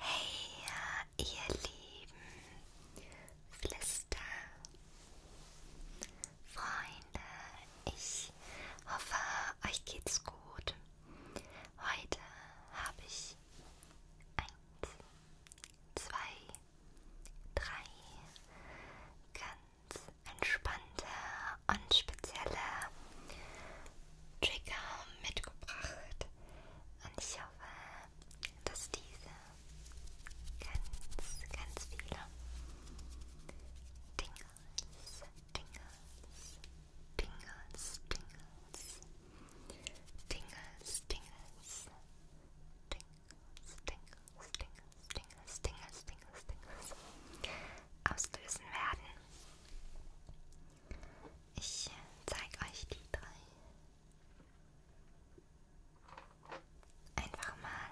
Hey, ihr lieben Flister Freunde, ich hoffe, euch geht's gut. Heute habe ich eins, zwei, drei ganz entspannte und spezielle Trigger mitgebracht. Und ich hoffe, dass diese ganz, ganz viele Dingles, Dingles, Dingles, Dingles, Dingles, Dingles, Dingles, Dingles, Stingers, Stingers, Stingers, Stingers, Stingers auslösen werden. Ich zeige euch die drei einfach mal.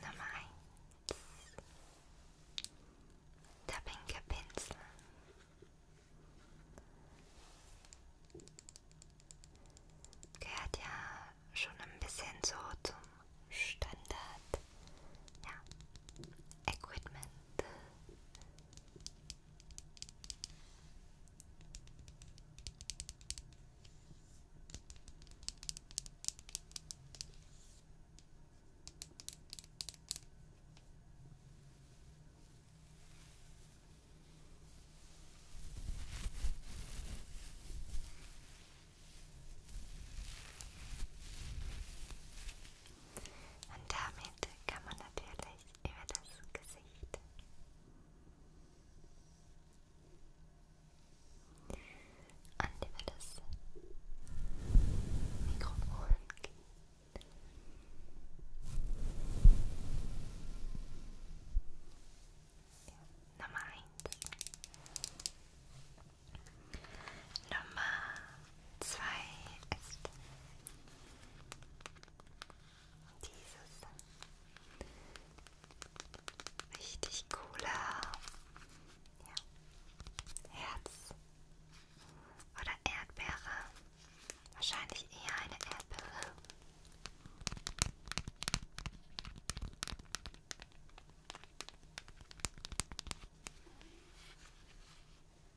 Nummer eins. Der pinke Pinsel. Gehört ja schon ein bisschen so zum Standard ja, Equipment. Und damit kann man natürlich über das Gesicht und über das Mikrofon gehen. Nummer eins. Nummer zwei ist dieses richtig coole ja, Herz oder Erdbeere. Wahrscheinlich eher eine Apple.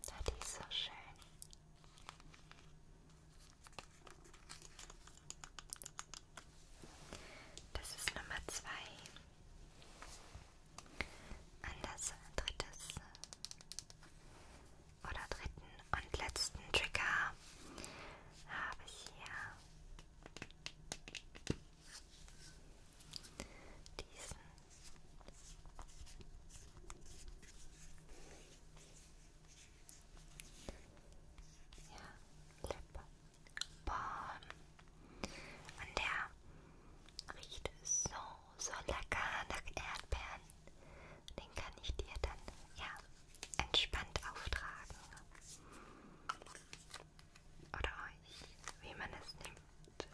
Ja, die ist so schön. Das ist Nummer zwei. Und das drittes oder dritten und letzten Trigger habe ich hier diesen. Ja, Lip Balm. Und der riecht so, so lecker nach Erdbeeren. Den kann ich dir dann ja entspannt auftragen. Oder euch, wie man es nimmt.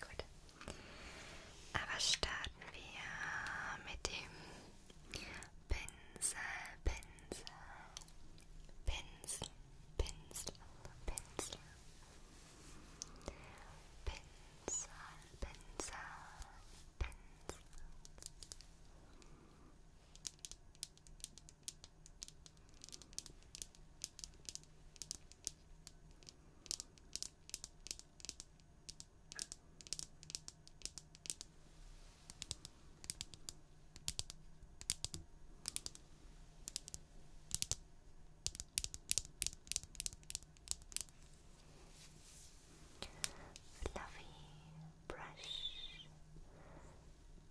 Gut. Aber starten wir mit dem Pinsel, Pinsel. pins, pins, pins, pins, pins, pins. Pins, Fluffy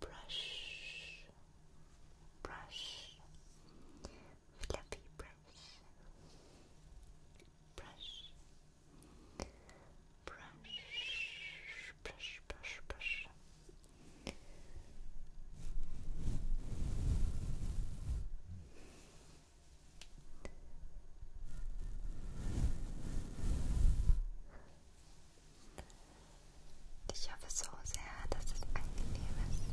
brush, brush, brush, fluffy brush, brush, brush, brush, brush, brush, Ich hoffe so sehr, dass es angenehm ist.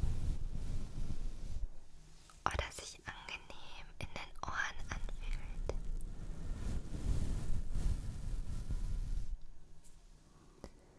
Oder sich angenehm in den Ohren anfühlt. Vielleicht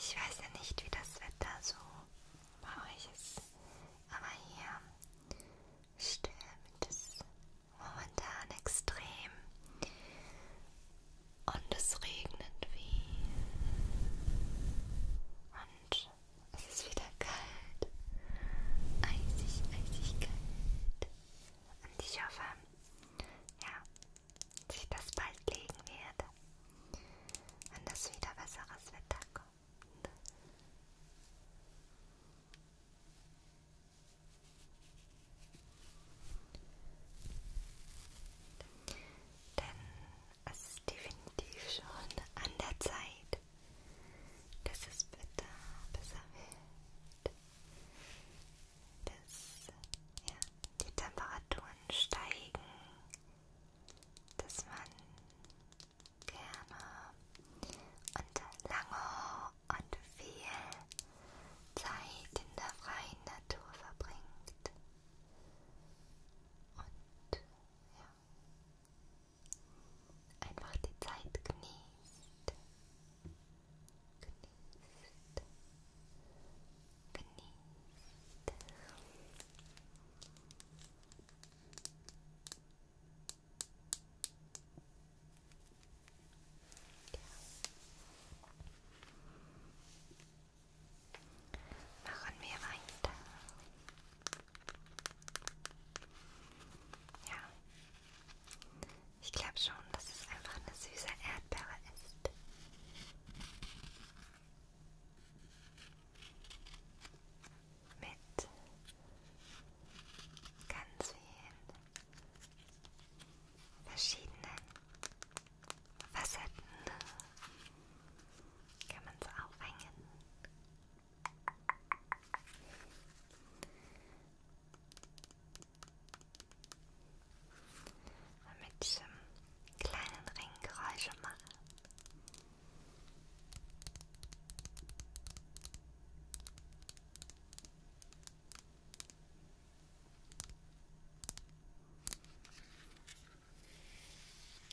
Ich weiß ja nicht, wie das Wetter so bei euch ist, aber hier stürmt es momentan extrem und es regnet viel und es ist wieder kalt, eisig, eisig kalt und ich hoffe, ja, sich das bald legen wird, wenn das wieder besseres Wetter kommt. Denn es ist definitiv schon an der Zeit, dass es bitter besser wird dass ja, die Temperaturen steigen, dass man gerne und lange und viel Zeit in der freien Natur verbringt. Und ja, einfach die Zeit genießt. Genießt. Genießt. Ja. Machen wir weiter. Ich glaube schon, dass es einfach eine süße Erdbeere ist. Mit ganz vielen verschiedenen Facetten kann man es aufhängen damit ich im kleinen Ring Geräusche mache.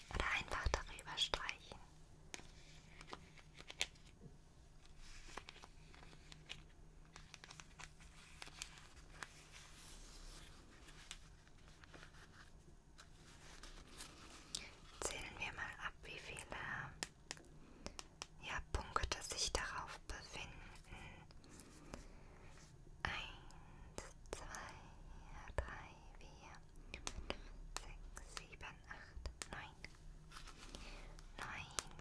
Oder einfach darüber streichen. Zählen wir mal ab, wie viele ja, Punkte sich darauf befinden. Eins, zwei, drei, vier, fünf, sechs, sieben, acht, neun. Neun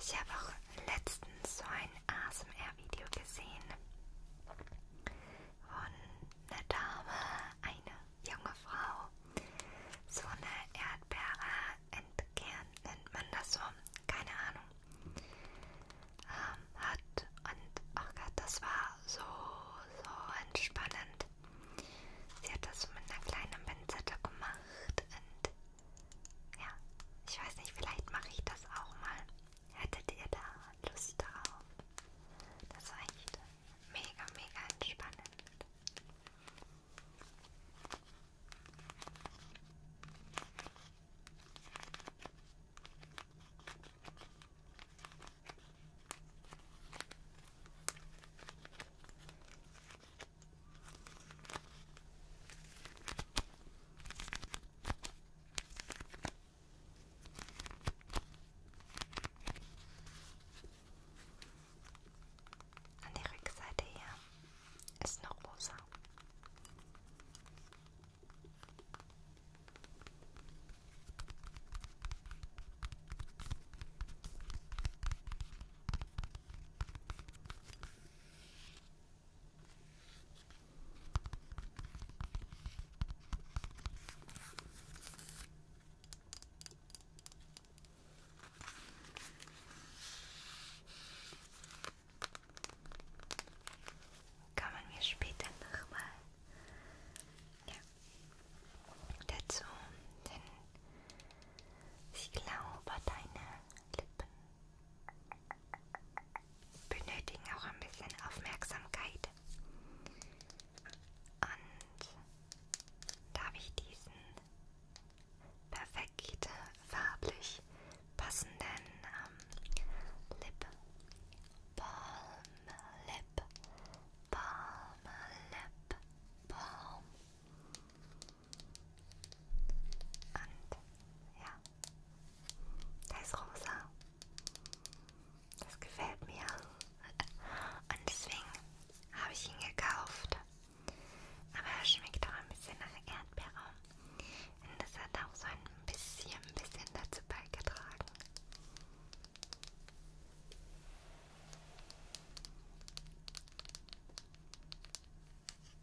Ich habe auch letztens so ein ASMR-Video gesehen von einer Dame, eine junge Frau, so eine Erdbeere entkernt, nennt man das so, keine Ahnung, ähm, hat und, ach Gott, das war so, so entspannend. Sie hat das so mit einer kleinen Pinzette gemacht und ja, ich weiß nicht, vielleicht mache ich das auch mal. Hättet ihr da Lust drauf? Das war echt mega, mega entspannend. An der Rückseite hier ist noch rosa. Kann man mir später nochmal ja, dazu den Ich glaube, deine Lippen benötigen auch ein bisschen Aufmerksamkeit. Und darf ich diesen perfekt farblich passenden ähm, Lip Balm Lip Balm Lip Balm und ja, der ist rosa. Das gefällt mir. Und deswegen habe ich ihn gekauft. Aber er schmeckt auch ein bisschen nach Erdbeere. Und das hat auch so ein bisschen, ein bisschen dazu beigetragen.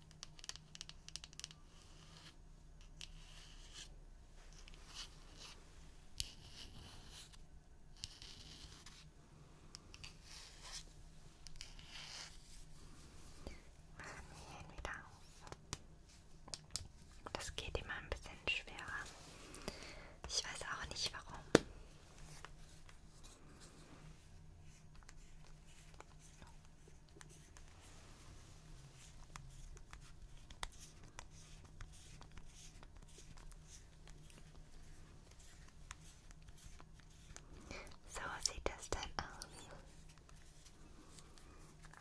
Machen wir ihn wieder auf. Das geht immer ein bisschen schwerer. Ich weiß auch nicht warum. So sieht das dann aus.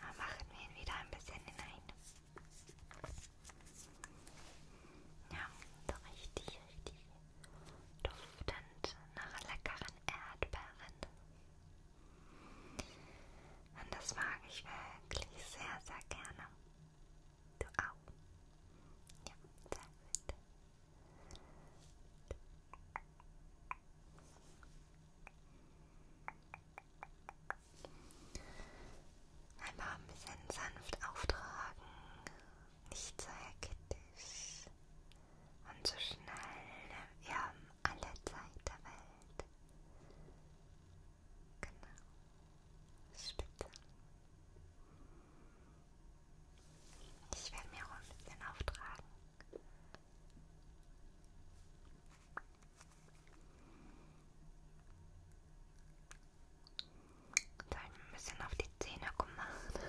Dann ah, machen wir ihn wieder ein bisschen hinein. Ja, so richtig, richtig duftend nach leckeren Erdbeeren. Und das mag ich wirklich sehr, sehr gerne. Du auch. Ja, sehr gut. Einfach ein bisschen sanft auftragen, nicht zu hektisch und so schnell wir haben alle Zeit der Welt. Genau. Spitze. Ich werde mir auch ein bisschen auftragen. Da habe ich ein bisschen auf die Zähne gemacht.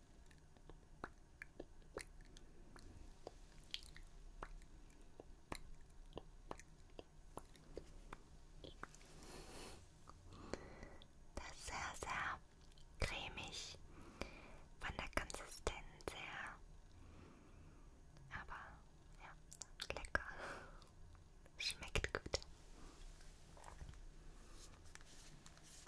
Das ist sehr, sehr cremig von der Konsistenz her. Aber ja, lecker. Schmeckt gut.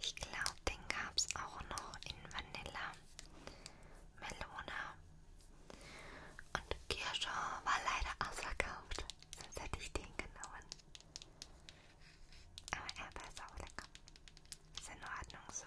Ich glaube, den gab es auch noch in Vanilla, Melone und Kirsche war leider ausverkauft, sonst hätte ich den genommen. Aber er war auch lecker. Ist in Ordnung so.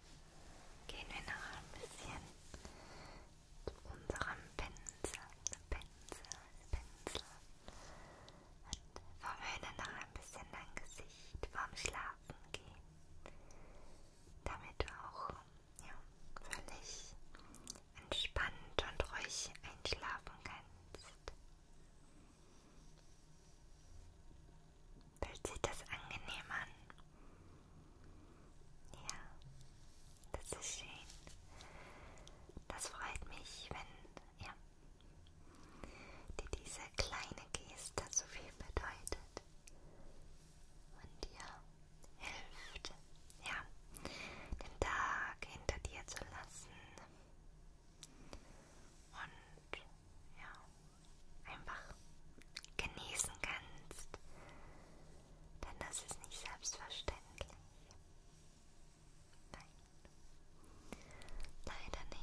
gehen wir noch ein bisschen zu unserem Pinsel, Pinsel, Pinsel und verwöhnen noch ein bisschen dein Gesicht vorm Schlafen gehen, damit du auch ja, völlig entspannt und ruhig einschlafen kannst. Fühlt sich das angenehm an? Ja, das ist schön. Das freut mich, wenn ja, dir diese kleine Geste so viel bedeutet und dir hilft, ja, den Tag hinter dir zu lassen und ja, einfach genießen kannst. Denn das ist nicht selbstverständlich. Nein. Leider nicht.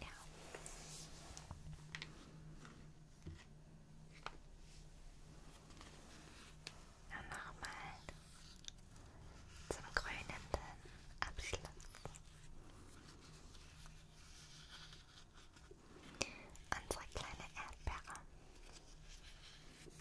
Ja. Und nochmal zum grünenden Abschluss. Unsere kleine Erdbeere.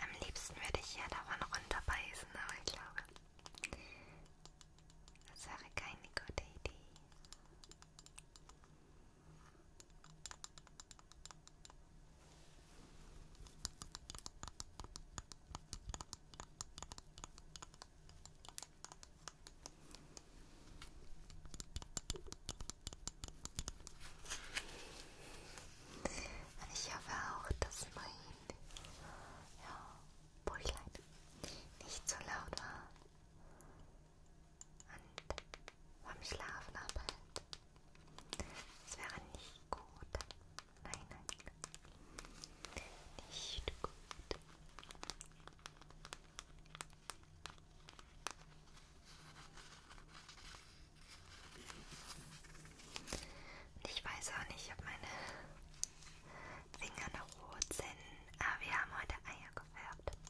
Am liebsten würde ich ja davon runterbeißen, aber ich glaube, das wäre keine gute Idee. Ich hoffe auch, dass mein ja, Bäuchlein nicht so laut war und vom Schlafen abhält. Das wäre nicht gut. Nein, nein. Nicht gut. Ich weiß auch nicht, ob meine Finger noch rot sind, aber wir haben heute Eier gefärbt.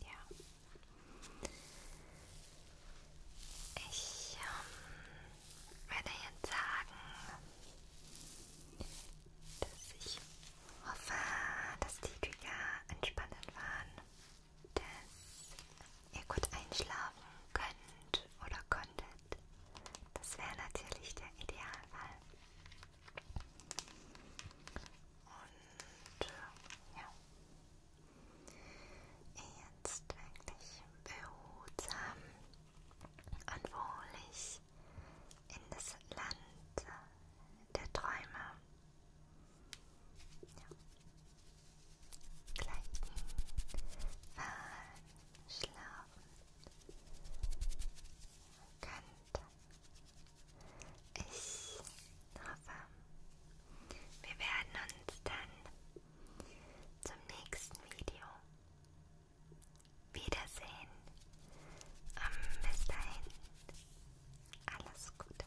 Ja. Ich ähm, werde jetzt sagen, dass ich hoffe, dass die Trigger entspannend waren, dass ihr gut einschlafen könnt oder könntet. Das wäre natürlich der Idealfall. Und äh, ja, jetzt wirklich behutsam und wohlig in das Land der Träume. Ja gleichen Waren schlafen könnte. Ich hoffe, wir werden uns dann zum nächsten Video wiedersehen. Um, bis dahin, alles Gute.